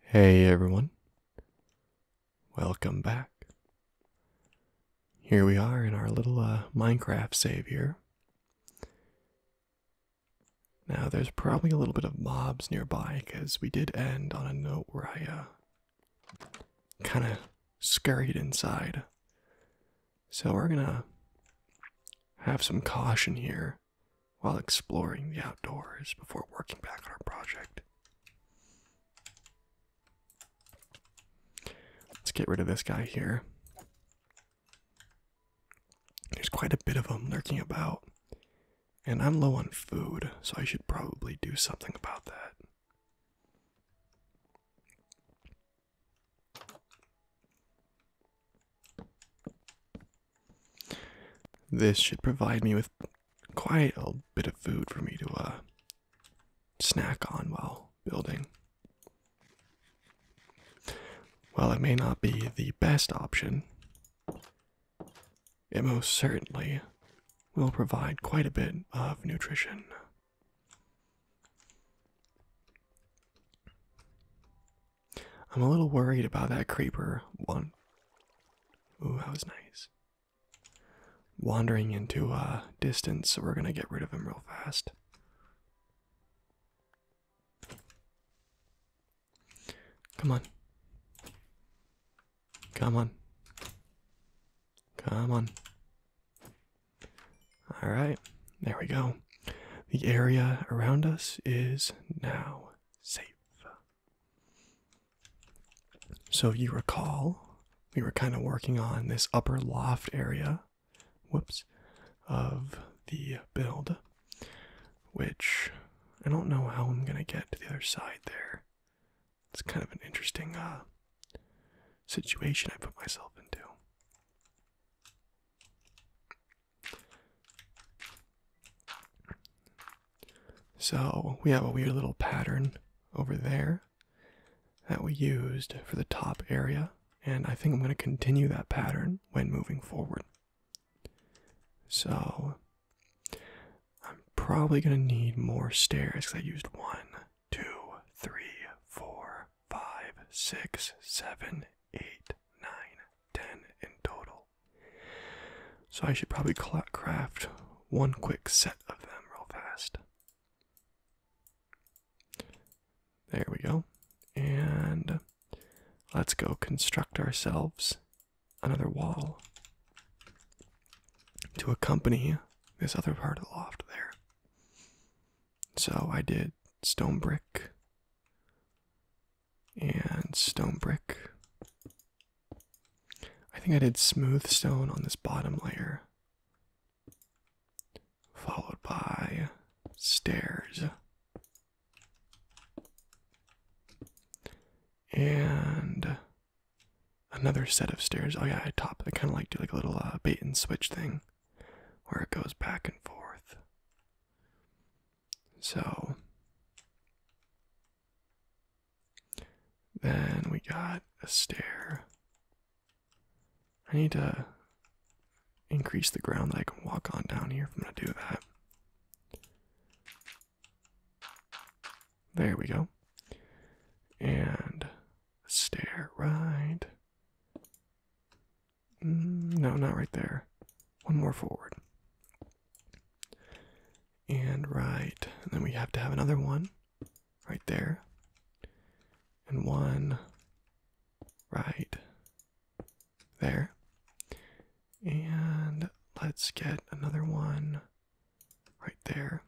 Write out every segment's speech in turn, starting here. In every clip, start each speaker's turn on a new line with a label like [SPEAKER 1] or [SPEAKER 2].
[SPEAKER 1] Hey everyone, welcome back. Here we are in our little uh, Minecraft savior. Now there's probably a little bit of mobs nearby because we did end on a note where I uh, kind of scurried inside so we're gonna have some caution here while exploring the outdoors before working back on our project. Let's get rid of this guy here. There's quite a bit of them lurking about. And I'm low on food, so I should probably do something about that. This should provide me with quite a bit of food for me to uh, snack on while building. While it may not be the best option, it most certainly will provide quite a bit of nutrition. I'm a little worried about that creeper one. Ooh, that was nice. Wandering into uh, distance, so we're gonna get rid of him real fast. Come on. Come on. Come on. All right, there we go. The area around us is now safe. So, you recall, we were kind of working on this upper loft area, whoops, of the build, which I don't know how I'm going to get to the other side there. It's kind of an interesting uh, situation I put myself into. So we have a weird little pattern over there that we used for the top area, and I think I'm going to continue that pattern when moving forward. So I'm probably going to need more stairs because I used one, two, three, four, four, five, six, seven, eight, nine, ten in total. So I should probably craft one quick set of them real fast. There we go. And let's go construct ourselves another wall to accompany this other part of the loft there. So I did stone brick and stone brick. I think I did smooth stone on this bottom layer, followed by stairs. And another set of stairs. Oh yeah, I top. I kind of like do like a little uh, bait and switch thing where it goes back and forth. So then we got a stair. I need to increase the ground that I can walk on down here if I'm going to do that. There we go. And a stair right Mm, no, not right there. One more forward. And right. And then we have to have another one right there. And one right there. And let's get another one right there.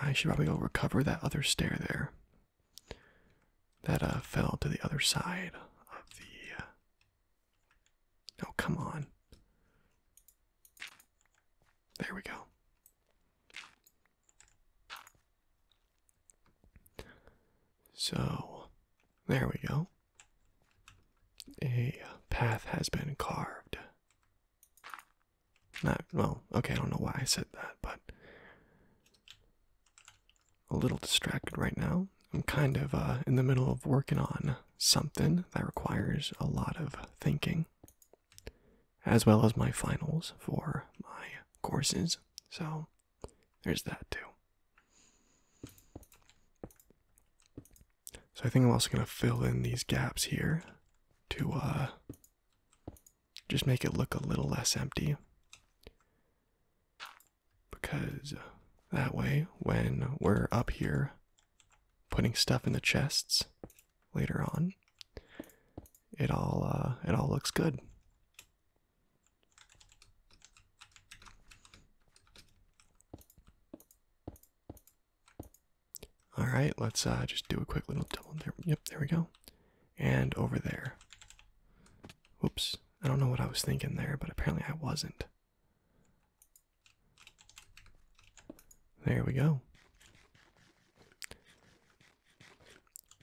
[SPEAKER 1] I should probably go recover that other stair there that uh, fell to the other side of the. Uh, oh, come on. There we go. So, there we go. A path has been carved. Not, well, okay, I don't know why I said that, but a little distracted right now. I'm kind of uh, in the middle of working on something that requires a lot of thinking, as well as my finals for my courses. So there's that too. So I think I'm also going to fill in these gaps here to uh, just make it look a little less empty. Because that way, when we're up here putting stuff in the chests later on, it all uh, it all looks good. All right, let's uh, just do a quick little double. There, yep, there we go and over there. Whoops, I don't know what I was thinking there, but apparently I wasn't. There we go.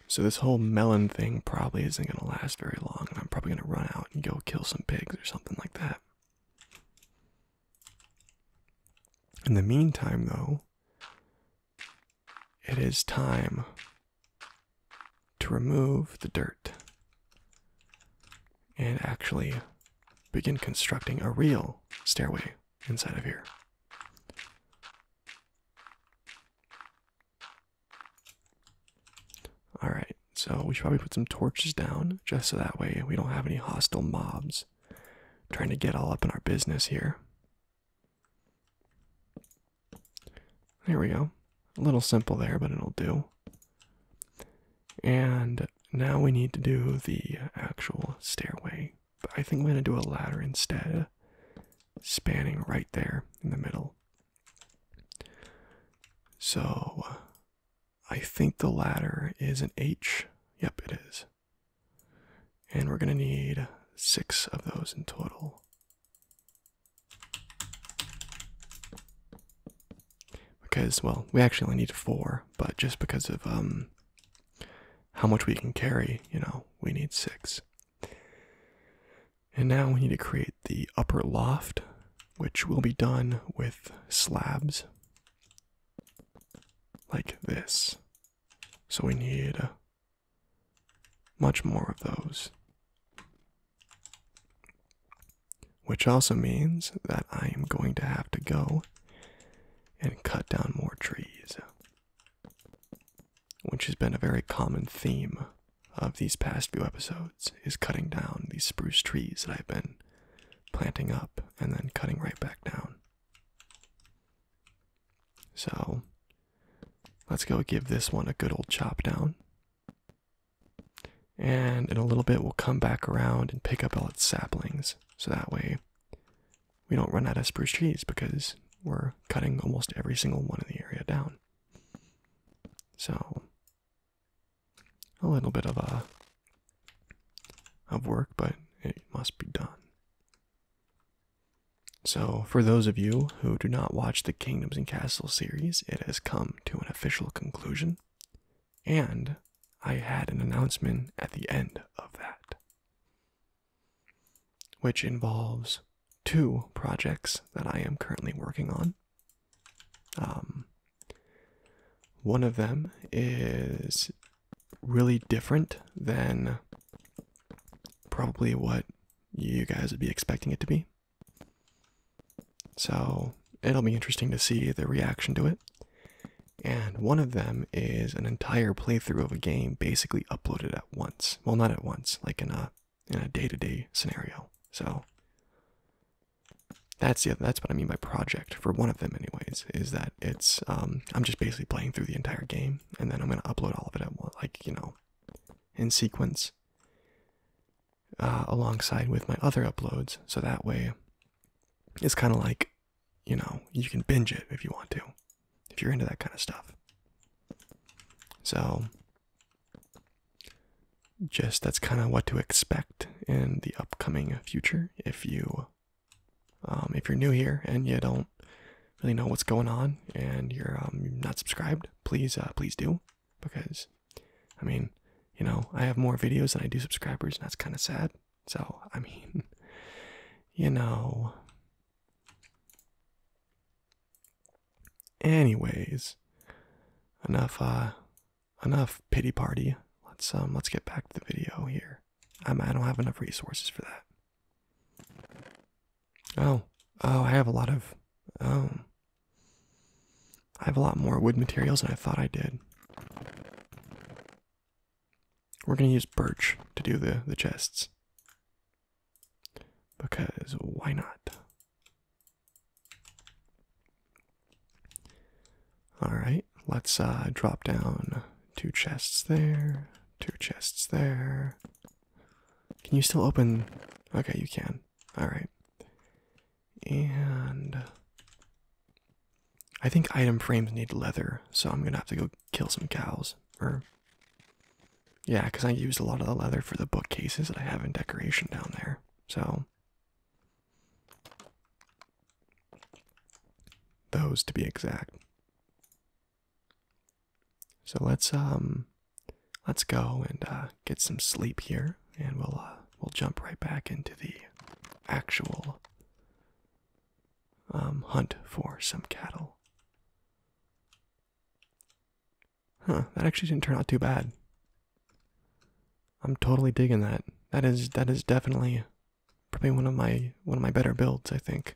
[SPEAKER 1] So, this whole melon thing probably isn't going to last very long, and I'm probably going to run out and go kill some pigs or something like that. In the meantime, though, it is time to remove the dirt and actually begin constructing a real stairway inside of here. Alright, so we should probably put some torches down just so that way we don't have any hostile mobs trying to get all up in our business here. There we go. A little simple there, but it'll do. And now we need to do the actual stairway. But I think we're going to do a ladder instead, spanning right there in the middle. So I think the ladder is an H. Yep, it is. And we're going to need six of those in total. Because, well, we actually only need four, but just because of um, how much we can carry, you know, we need six. And now we need to create the upper loft, which will be done with slabs like this. So we need much more of those. Which also means that I am going to have to go and cut down more trees, which has been a very common theme of these past few episodes is cutting down these spruce trees that I've been planting up and then cutting right back down. So, Let's go give this one a good old chop down. And in a little bit, we'll come back around and pick up all its saplings. So that way, we don't run out of spruce trees because we're cutting almost every single one in the area down. So, a little bit of a uh, of work, but it must be done. So, for those of you who do not watch the Kingdoms and Castles series, it has come to an official conclusion, and I had an announcement at the end of that, which involves two projects that I am currently working on. Um, one of them is really different than probably what you guys would be expecting it to be. So it'll be interesting to see the reaction to it. And one of them is an entire playthrough of a game basically uploaded at once. Well, not at once, like in a in a day-to-day scenario. So that's the that's what I mean by project for one of them anyways, is that it's um I'm just basically playing through the entire game and then I'm gonna upload all of it at like you know, in sequence, uh, alongside with my other uploads. So that way, it's kind of like, you know, you can binge it if you want to, if you're into that kind of stuff. So, just that's kind of what to expect in the upcoming future if you um, if you're new here and you don't really know what's going on and you're um, not subscribed, please, uh, please do, because, I mean, you know, I have more videos than I do subscribers, and that's kind of sad. So, I mean, you know. Anyways, enough, uh, enough pity party. Let's um, let's get back to the video here. I don't have enough resources for that. Oh, oh, I have a lot of, oh, I have a lot more wood materials than I thought I did. We're gonna use birch to do the the chests because why not? All right, let's uh, drop down two chests there, two chests there, can you still open? Okay, you can. All right. And I think item frames need leather, so I'm gonna have to go kill some cows. Or yeah, because I used a lot of the leather for the bookcases that I have in decoration down there. So those to be exact. So let's um let's go and uh, get some sleep here, and we'll uh, we'll jump right back into the actual um, hunt for some cattle. Huh, that actually didn't turn out too bad. I'm totally digging that. That is that is definitely probably one of my one of my better builds, I think.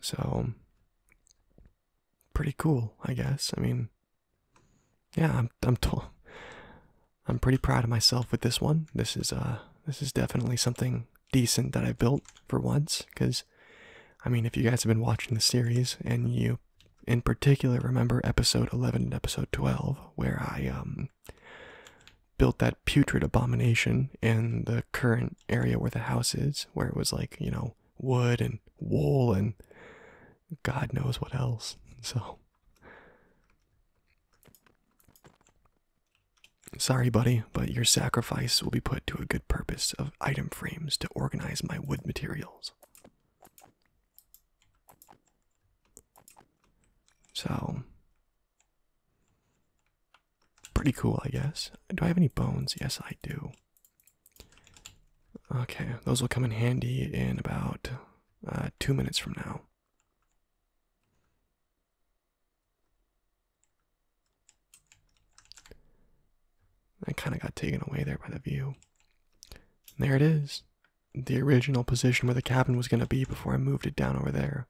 [SPEAKER 1] So, pretty cool, I guess. I mean, yeah, I'm I'm t I'm pretty proud of myself with this one. This is uh this is definitely something decent that I built for once cuz I mean, if you guys have been watching the series and you in particular remember episode 11 and episode 12 where I um built that putrid abomination in the current area where the house is, where it was like, you know, wood and wool and God knows what else. So. Sorry, buddy, but your sacrifice will be put to a good purpose of item frames to organize my wood materials. So, Pretty cool, I guess. Do I have any bones? Yes, I do. Okay, those will come in handy in about uh, two minutes from now. I kind of got taken away there by the view. there it is. The original position where the cabin was going to be before I moved it down over there.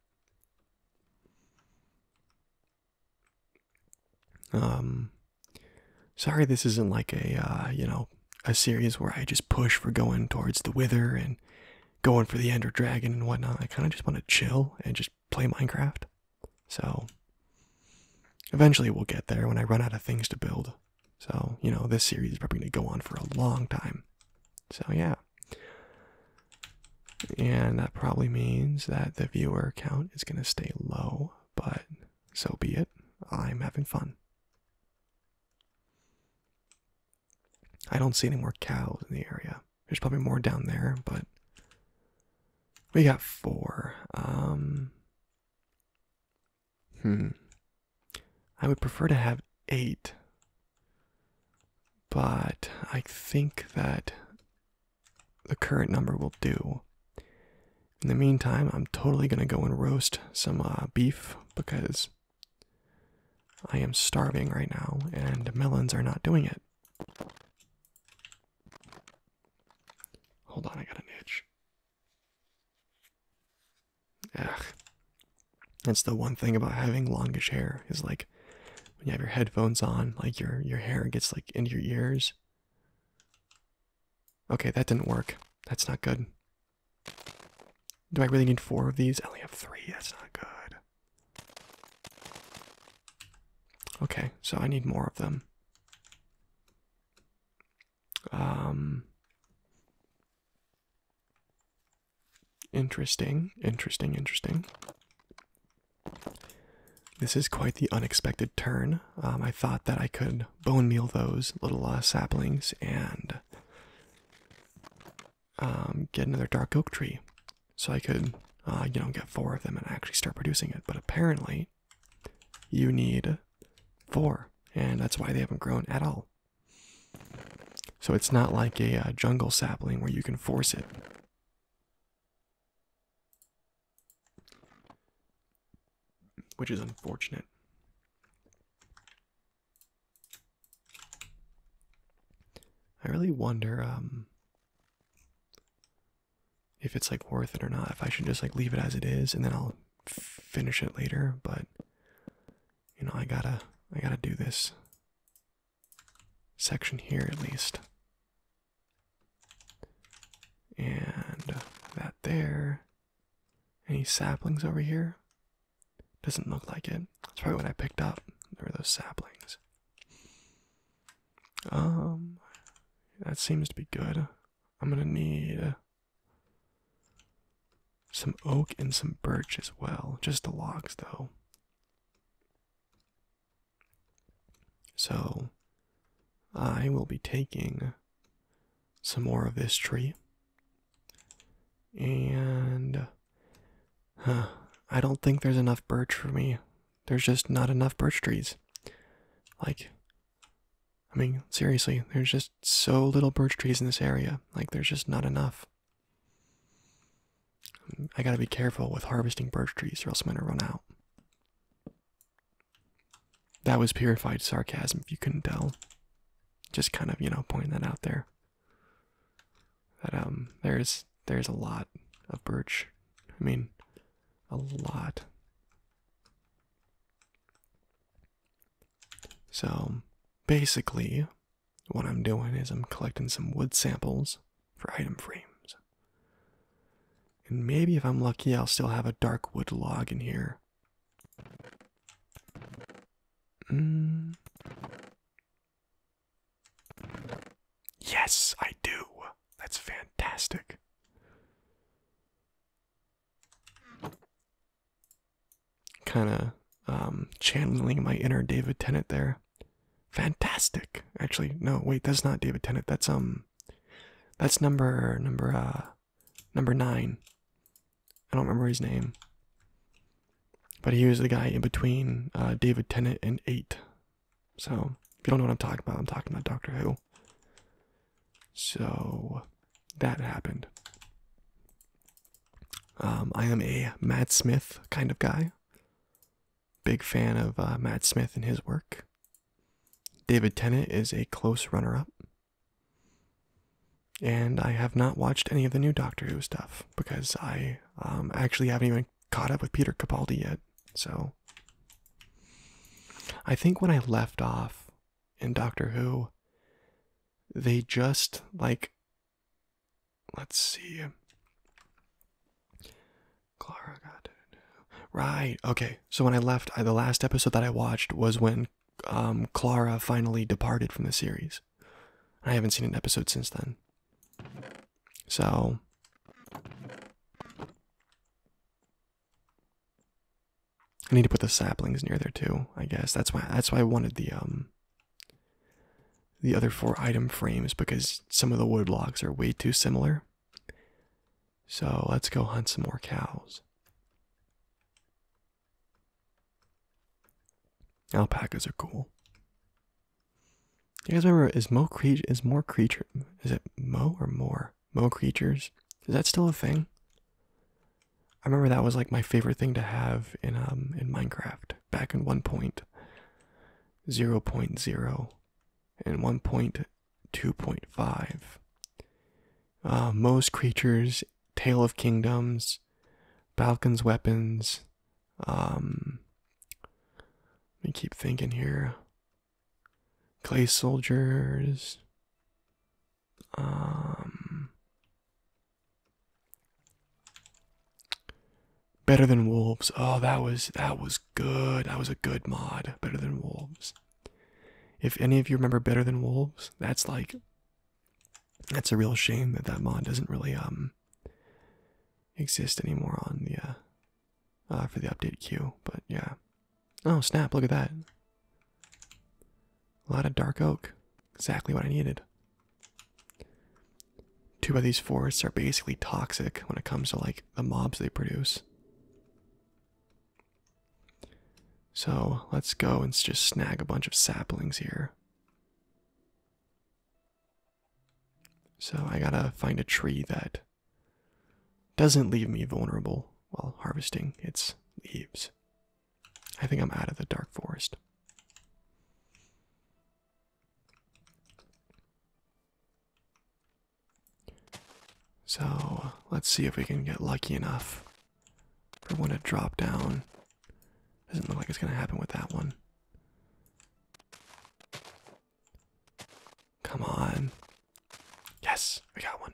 [SPEAKER 1] Um, sorry, this isn't like a uh, you know a series where I just push for going towards the Wither and going for the Ender Dragon and whatnot. I kind of just want to chill and just play Minecraft. So eventually we'll get there when I run out of things to build. So you know this series is probably going to go on for a long time. So yeah. And that probably means that the viewer count is going to stay low, but so be it. I'm having fun. I don't see any more cows in the area. There's probably more down there, but we got four. Um, hmm. I would prefer to have eight, but I think that the current number will do. In the meantime, I'm totally going to go and roast some uh, beef because I am starving right now and melons are not doing it. Hold on, I got an itch. That's the one thing about having longish hair is like when you have your headphones on, like your your hair gets like into your ears. Okay, that didn't work. That's not good. Do I really need four of these? I only have three. That's not good. Okay, so I need more of them. Um Interesting, interesting, interesting. This is quite the unexpected turn. Um, I thought that I could bone meal those little uh, saplings and um, get another dark oak tree, so I could, uh, you know, get four of them and actually start producing it. But apparently, you need four, and that's why they haven't grown at all. So it's not like a uh, jungle sapling where you can force it. Which is unfortunate. I really wonder um, if it's like worth it or not. If I should just like leave it as it is and then I'll finish it later. But you know, I gotta, I gotta do this section here at least. And that there. Any saplings over here? Doesn't look like it. That's probably what I picked up. There were those saplings. Um, that seems to be good. I'm gonna need some oak and some birch as well. Just the logs, though. So, I will be taking some more of this tree. And I don't think there's enough birch for me. There's just not enough birch trees. Like, I mean, seriously, there's just so little birch trees in this area. Like, there's just not enough. I gotta be careful with harvesting birch trees or else I'm gonna run out. That was purified sarcasm if you couldn't tell. Just kind of, you know, pointing that out there. That um there's there's a lot of birch. I mean a lot. So basically what I'm doing is I'm collecting some wood samples for item frames. And maybe if I'm lucky, I'll still have a dark wood log in here. Mm. Yes, I do. That's fantastic. Kind of um, channeling my inner David Tennant there. Fantastic. Actually, no, wait, that's not David Tennant. That's um that's number number uh number nine. I don't remember his name. But he was the guy in between uh, David Tennant and eight. So if you don't know what I'm talking about, I'm talking about Doctor Who. So that happened. Um, I am a Matt Smith kind of guy. Big fan of uh, Matt Smith and his work. David Tennant is a close runner up. And I have not watched any of the new Doctor Who stuff because I um, actually haven't even caught up with Peter Capaldi yet. So I think when I left off in Doctor Who, they just like Let's see. Clara got it. Right. Okay. So when I left, the last episode that I watched was when um, Clara finally departed from the series. I haven't seen an episode since then. So. I need to put the saplings near there too. I guess that's why. That's why I wanted the um the other four item frames because some of the wood logs are way too similar. So let's go hunt some more cows. Alpacas are cool. You guys remember is mo creature is more creature is it mo or more mo creatures? Is that still a thing? I remember that was like my favorite thing to have in um in Minecraft back in 1.0.0 and 1.2.5. Uh, most creatures, Tale of Kingdoms, Balkan's Weapons, um, I keep thinking here. Clay Soldiers, um, Better than wolves. Oh, that was that was good. That was a good mod. Better than wolves. If any of you remember Better Than Wolves, that's like that's a real shame that that mod doesn't really um exist anymore on the uh, uh for the update queue. But yeah. Oh snap! Look at that. A lot of dark oak. Exactly what I needed. Two of these forests are basically toxic when it comes to like the mobs they produce. So let's go and just snag a bunch of saplings here. So I gotta find a tree that doesn't leave me vulnerable while harvesting its leaves. I think I'm out of the dark forest. So let's see if we can get lucky enough for one to drop down. Doesn't look like it's going to happen with that one. Come on. Yes, we got one.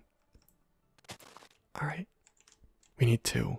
[SPEAKER 1] Alright. We need two.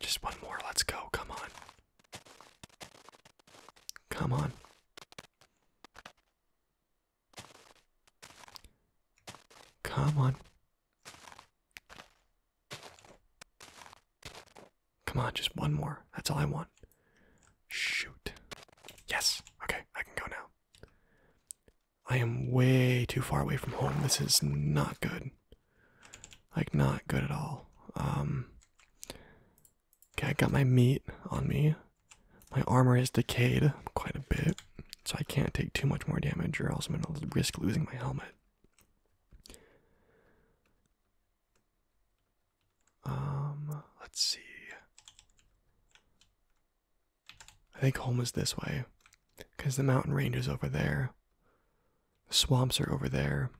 [SPEAKER 1] Just one more. Let's go. Come on. Come on. Come on. Come on, just one more. That's all I want. Shoot. Yes. Okay, I can go now. I am way too far away from home. This is not good. Like, not good at all. Um, okay, I got my meat on me. My armor is decayed quite a bit, so I can't take too much more damage, or else I'm going to risk losing my helmet. Um, let's see. I think home is this way, because the mountain range is over there swamps are over there.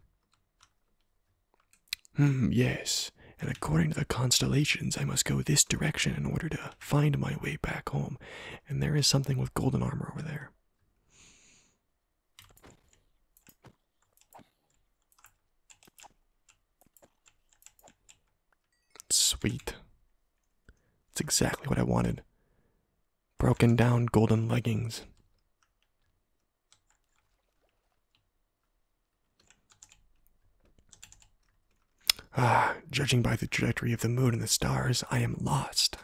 [SPEAKER 1] Hmm, yes, and according to the constellations, I must go this direction in order to find my way back home. And there is something with golden armor over there. Sweet. It's exactly what I wanted broken down golden leggings. Ah, judging by the trajectory of the moon and the stars, I am lost.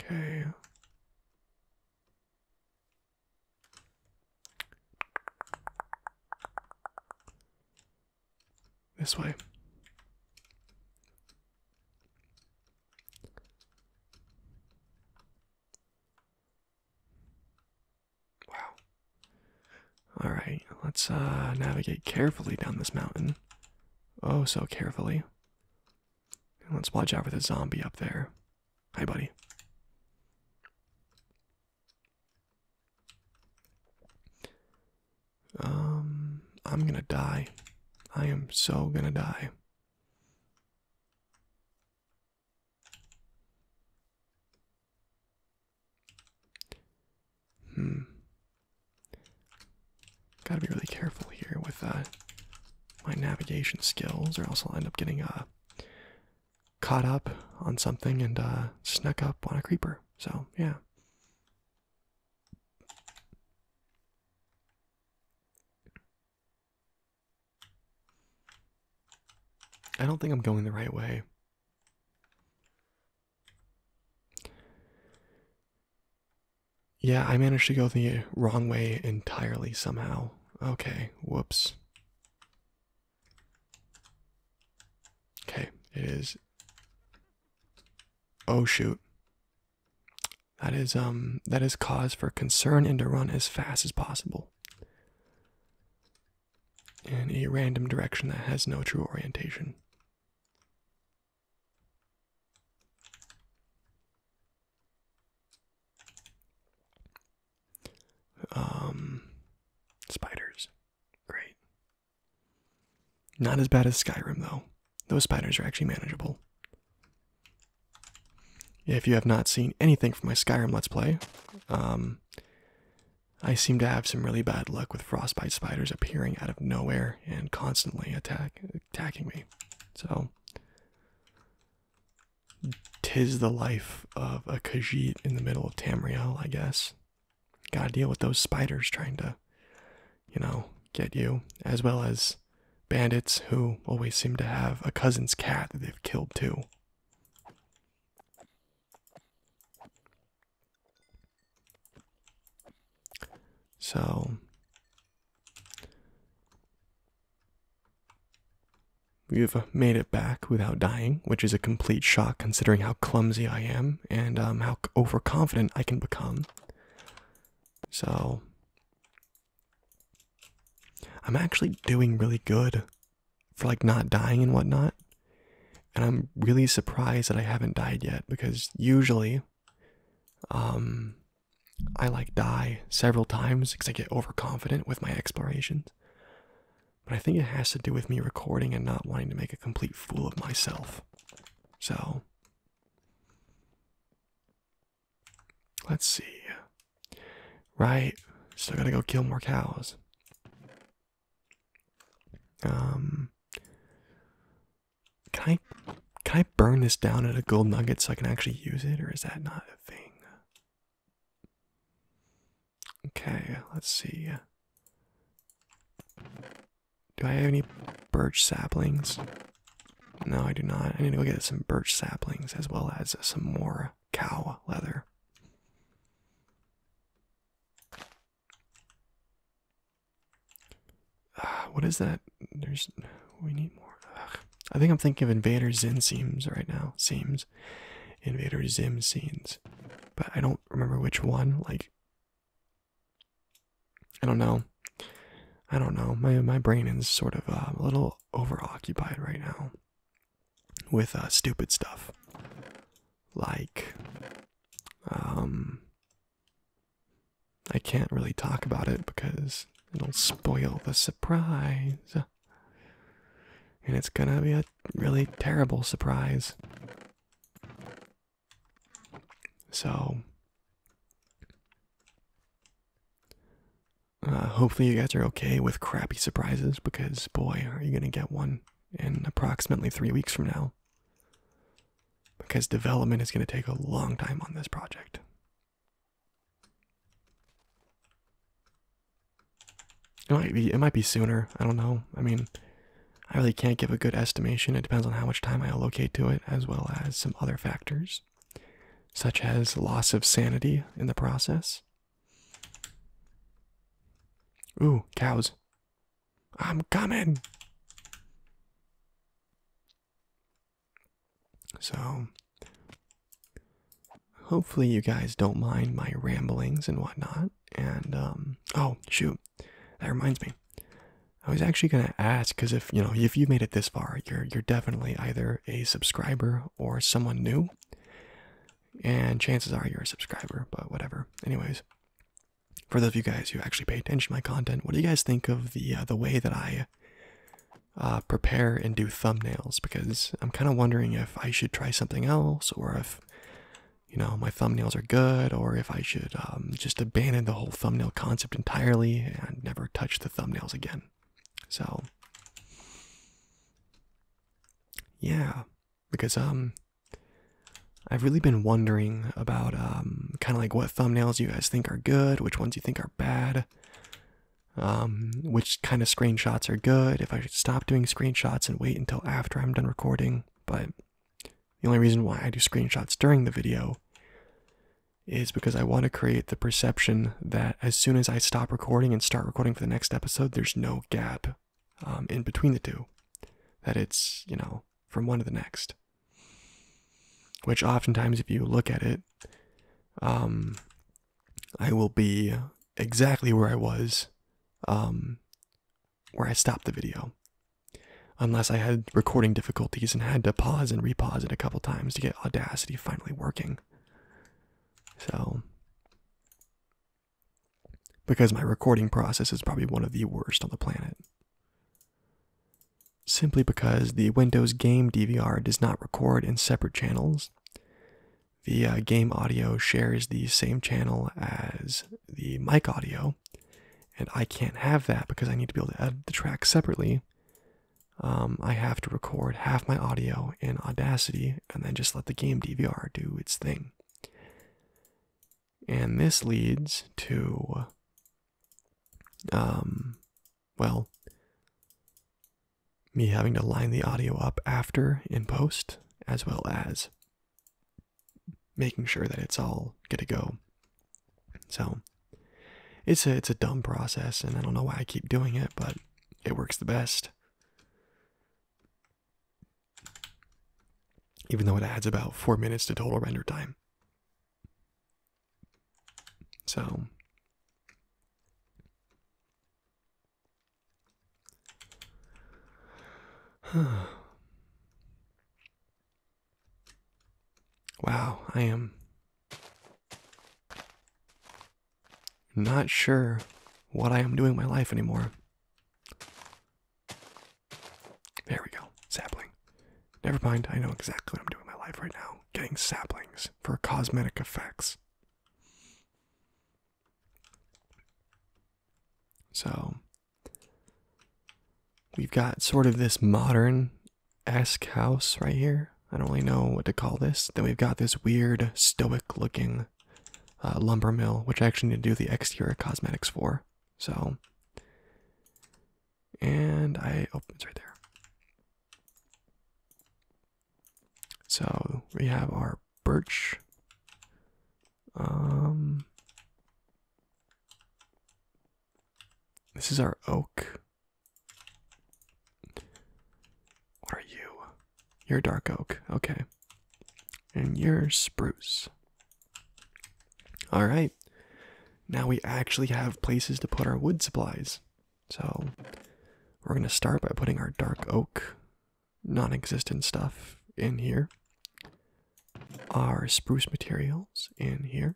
[SPEAKER 1] Okay. This way. Wow. Alright, let's uh, navigate carefully down this mountain. Oh, so carefully. let's watch out for the zombie up there. Hi, buddy. Um, I'm gonna die. I am so gonna die. Hmm. Gotta be really careful here with uh, my navigation skills, or else I'll end up getting a. Uh, caught up on something and uh, snuck up on a creeper. So, yeah. I don't think I'm going the right way. Yeah, I managed to go the wrong way entirely somehow. Okay, whoops. Okay, it is. Oh shoot. That is um that is cause for concern and to run as fast as possible. In a random direction that has no true orientation. Um, spiders, great. Not as bad as Skyrim though. Those spiders are actually manageable. If you have not seen anything from my Skyrim Let's Play, um, I seem to have some really bad luck with frostbite spiders appearing out of nowhere and constantly attack attacking me. So, tis the life of a Khajiit in the middle of Tamriel, I guess. Gotta deal with those spiders trying to, you know, get you, as well as bandits who always seem to have a cousin's cat that they've killed too. So We've made it back without dying, which is a complete shock considering how clumsy I am and um, how overconfident I can become. So, I'm actually doing really good for like not dying and whatnot. And I'm really surprised that I haven't died yet because usually um, I like die several times because I get overconfident with my explorations but I think it has to do with me recording and not wanting to make a complete fool of myself. So, let's see. Right, still gotta go kill more cows. Um, can I can I burn this down at a gold nugget so I can actually use it, or is that not a thing? Okay, let's see. Do I have any birch saplings? No, I do not. I need to go get some birch saplings as well as some more cow leather. Uh, what is that? There's. We need more. I think I'm thinking of invaders Zin seams right now. Seams. Invader Zim scenes, but I don't remember which one. Like, I don't know. I don't know. My my brain is sort of um, a little overoccupied right now with uh, stupid stuff like um I can't really talk about it because it'll spoil the surprise. And it's gonna be a really terrible surprise. So, uh, hopefully, you guys are okay with crappy surprises because, boy, are you gonna get one in approximately three weeks from now. Because development is gonna take a long time on this project. It might be it might be sooner. I don't know. I mean, I really can't give a good estimation. It depends on how much time I allocate to it as well as some other factors such as loss of sanity in the process. Ooh, cows. I'm coming. So hopefully you guys don't mind my ramblings and whatnot. And um, oh shoot, that reminds me. I was actually gonna ask because if you know if you made it this far, you're you're definitely either a subscriber or someone new. And chances are you're a subscriber, but whatever. Anyways, for those of you guys who actually pay attention to my content, what do you guys think of the uh, the way that I uh, prepare and do thumbnails? Because I'm kind of wondering if I should try something else or if you know my thumbnails are good or if I should um, just abandon the whole thumbnail concept entirely and never touch the thumbnails again. So yeah, because um I've really been wondering about um, kind of like what thumbnails you guys think are good, which ones you think are bad, um which kind of screenshots are good, if I stop doing screenshots and wait until after I'm done recording, but the only reason why I do screenshots during the video is because I want to create the perception that as soon as I stop recording and start recording for the next episode, there's no gap um, in between the two. That it's, you know, from one to the next. Which oftentimes, if you look at it, um, I will be exactly where I was um, where I stopped the video. Unless I had recording difficulties and had to pause and repause it a couple times to get Audacity finally working. So because my recording process is probably one of the worst on the planet. Simply because the Windows Game DVR does not record in separate channels, the uh, game audio shares the same channel as the mic audio, and I can't have that because I need to be able to edit the track separately. Um, I have to record half my audio in Audacity and then just let the game DVR do its thing. And this leads to, um, well, me having to line the audio up after in post, as well as making sure that it's all good to go. So it's a it's a dumb process, and I don't know why I keep doing it, but it works the best. Even though it adds about four minutes to total render time. So wow, I am not sure what I am doing my life anymore. There we go. Sapling. Never mind, I know exactly what I'm doing in my life right now. Getting saplings for cosmetic effects. So we've got sort of this modern esque house right here. I don't really know what to call this. Then we've got this weird stoic looking uh, lumber mill, which I actually need to do the exterior cosmetics for. So, and I, oh, it's right there. So we have our birch. Um, this is our oak. What are you? You're dark oak. Okay. And you're spruce. All right. Now we actually have places to put our wood supplies. So we're going to start by putting our dark oak non-existent stuff in here our spruce materials in here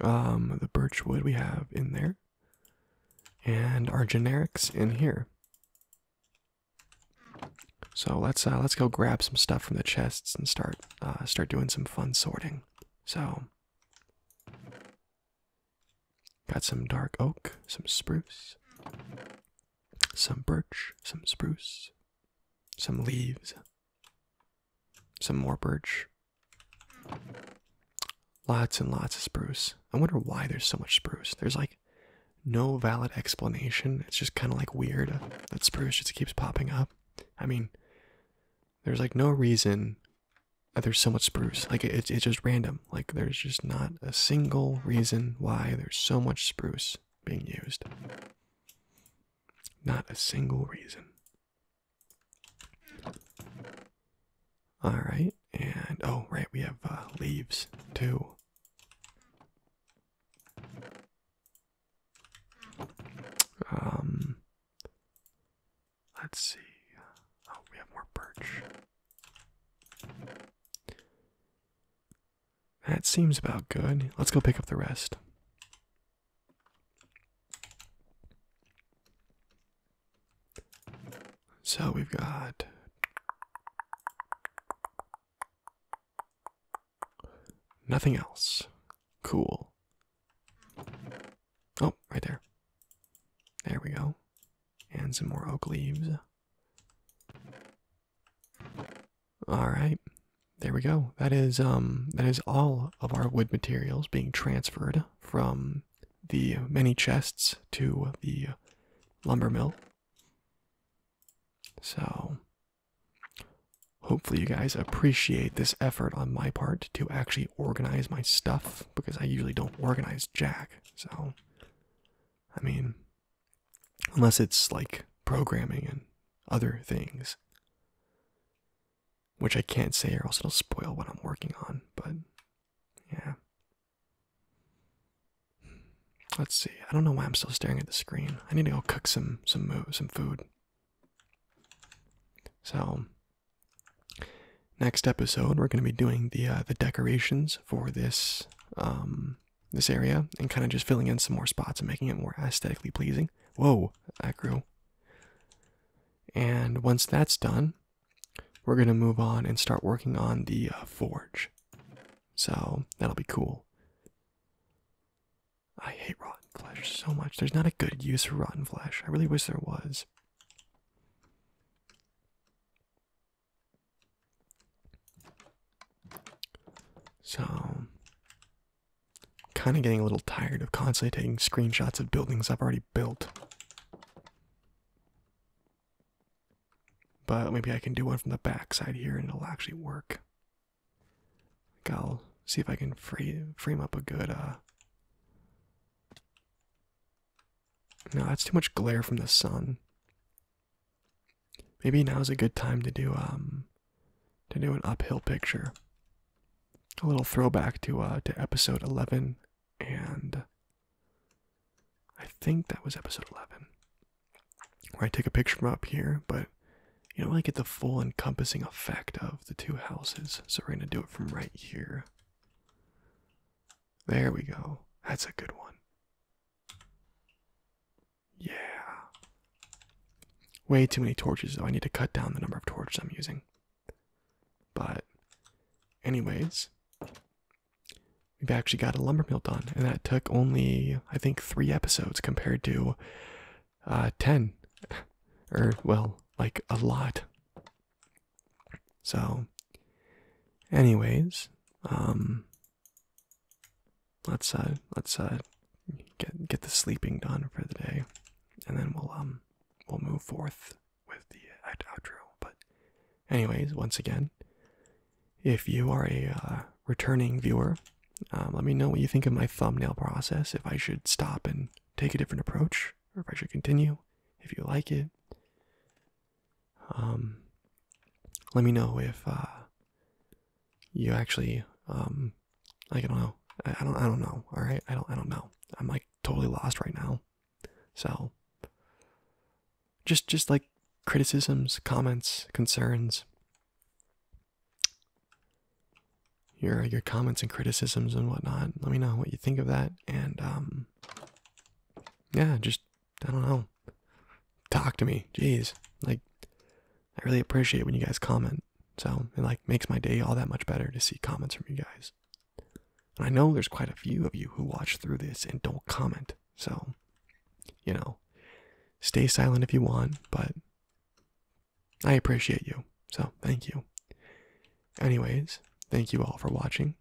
[SPEAKER 1] um the birch wood we have in there and our generics in here so let's uh, let's go grab some stuff from the chests and start uh, start doing some fun sorting so Got some dark oak, some spruce, some birch, some spruce, some leaves, some more birch. Lots and lots of spruce. I wonder why there's so much spruce. There's like no valid explanation. It's just kind of like weird that spruce just keeps popping up. I mean, there's like no reason uh, there's so much spruce like it's it's just random like there's just not a single reason why there's so much spruce being used not a single reason all right and oh right we have uh, leaves too um Let's see. Oh, we have more birch. That seems about good. Let's go pick up the rest. So we've got nothing else. Cool. Oh, right there. There we go. And some more oak leaves. All right. There we go. That is um that is all of our wood materials being transferred from the many chests to the lumber mill. So hopefully you guys appreciate this effort on my part to actually organize my stuff because I usually don't organize Jack. So, I mean, unless it's like programming and other things, which I can't say or else it'll spoil what I'm working on, but yeah. Let's see. I don't know why I'm still staring at the screen. I need to go cook some some some food. So, Next episode, we're going to be doing the uh, the decorations for this um, this area and kind of just filling in some more spots and making it more aesthetically pleasing. Whoa, that grew. And once that's done, we're going to move on and start working on the uh, forge. So that'll be cool. I hate rotten flesh so much. There's not a good use for rotten flesh. I really wish there was. So, kind of getting a little tired of constantly taking screenshots of buildings I've already built. But maybe I can do one from the back side here and it'll actually work. I'll see if I can frame up a good uh, no, that's too much glare from the sun. Maybe now is a good time to do um to do an uphill picture. A little throwback to uh to episode 11 and I think that was episode 11. Where I take a picture from up here, but you don't really get the full encompassing effect of the two houses, so we're gonna do it from right here. There we go. That's a good one. Yeah. Way too many torches, though. I need to cut down the number of torches I'm using. But, anyways, we've actually got a lumbermill done, and that took only, I think, three episodes compared to uh, 10. or, well, like a lot. So, anyways, um, let's uh, let's uh, get get the sleeping done for the day, and then we'll um we'll move forth with the uh, outro. But, anyways, once again, if you are a uh, returning viewer, um, let me know what you think of my thumbnail process. If I should stop and take a different approach, or if I should continue, if you like it. Um, let me know if uh, you actually um, like I don't know. I, I don't. I don't know. All right. I don't. I don't know. I'm like totally lost right now. So, just just like criticisms, comments, concerns your your comments and criticisms and whatnot. Let me know what you think of that, and um, yeah, just I don't know, talk to me. Jeez, like I really appreciate when you guys comment. So it like makes my day all that much better to see comments from you guys. And I know there's quite a few of you who watch through this and don't comment. So, you know, stay silent if you want, but I appreciate you. So, thank you. Anyways, thank you all for watching.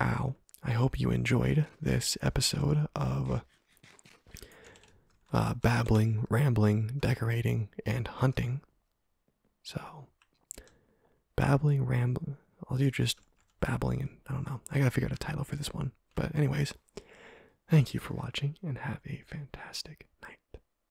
[SPEAKER 1] Ow. I hope you enjoyed this episode of uh, babbling, rambling, decorating, and hunting. So, babbling, rambling. I'll do just babbling, and I don't know. I gotta figure out a title for this one. But, anyways, thank you for watching, and have a fantastic night.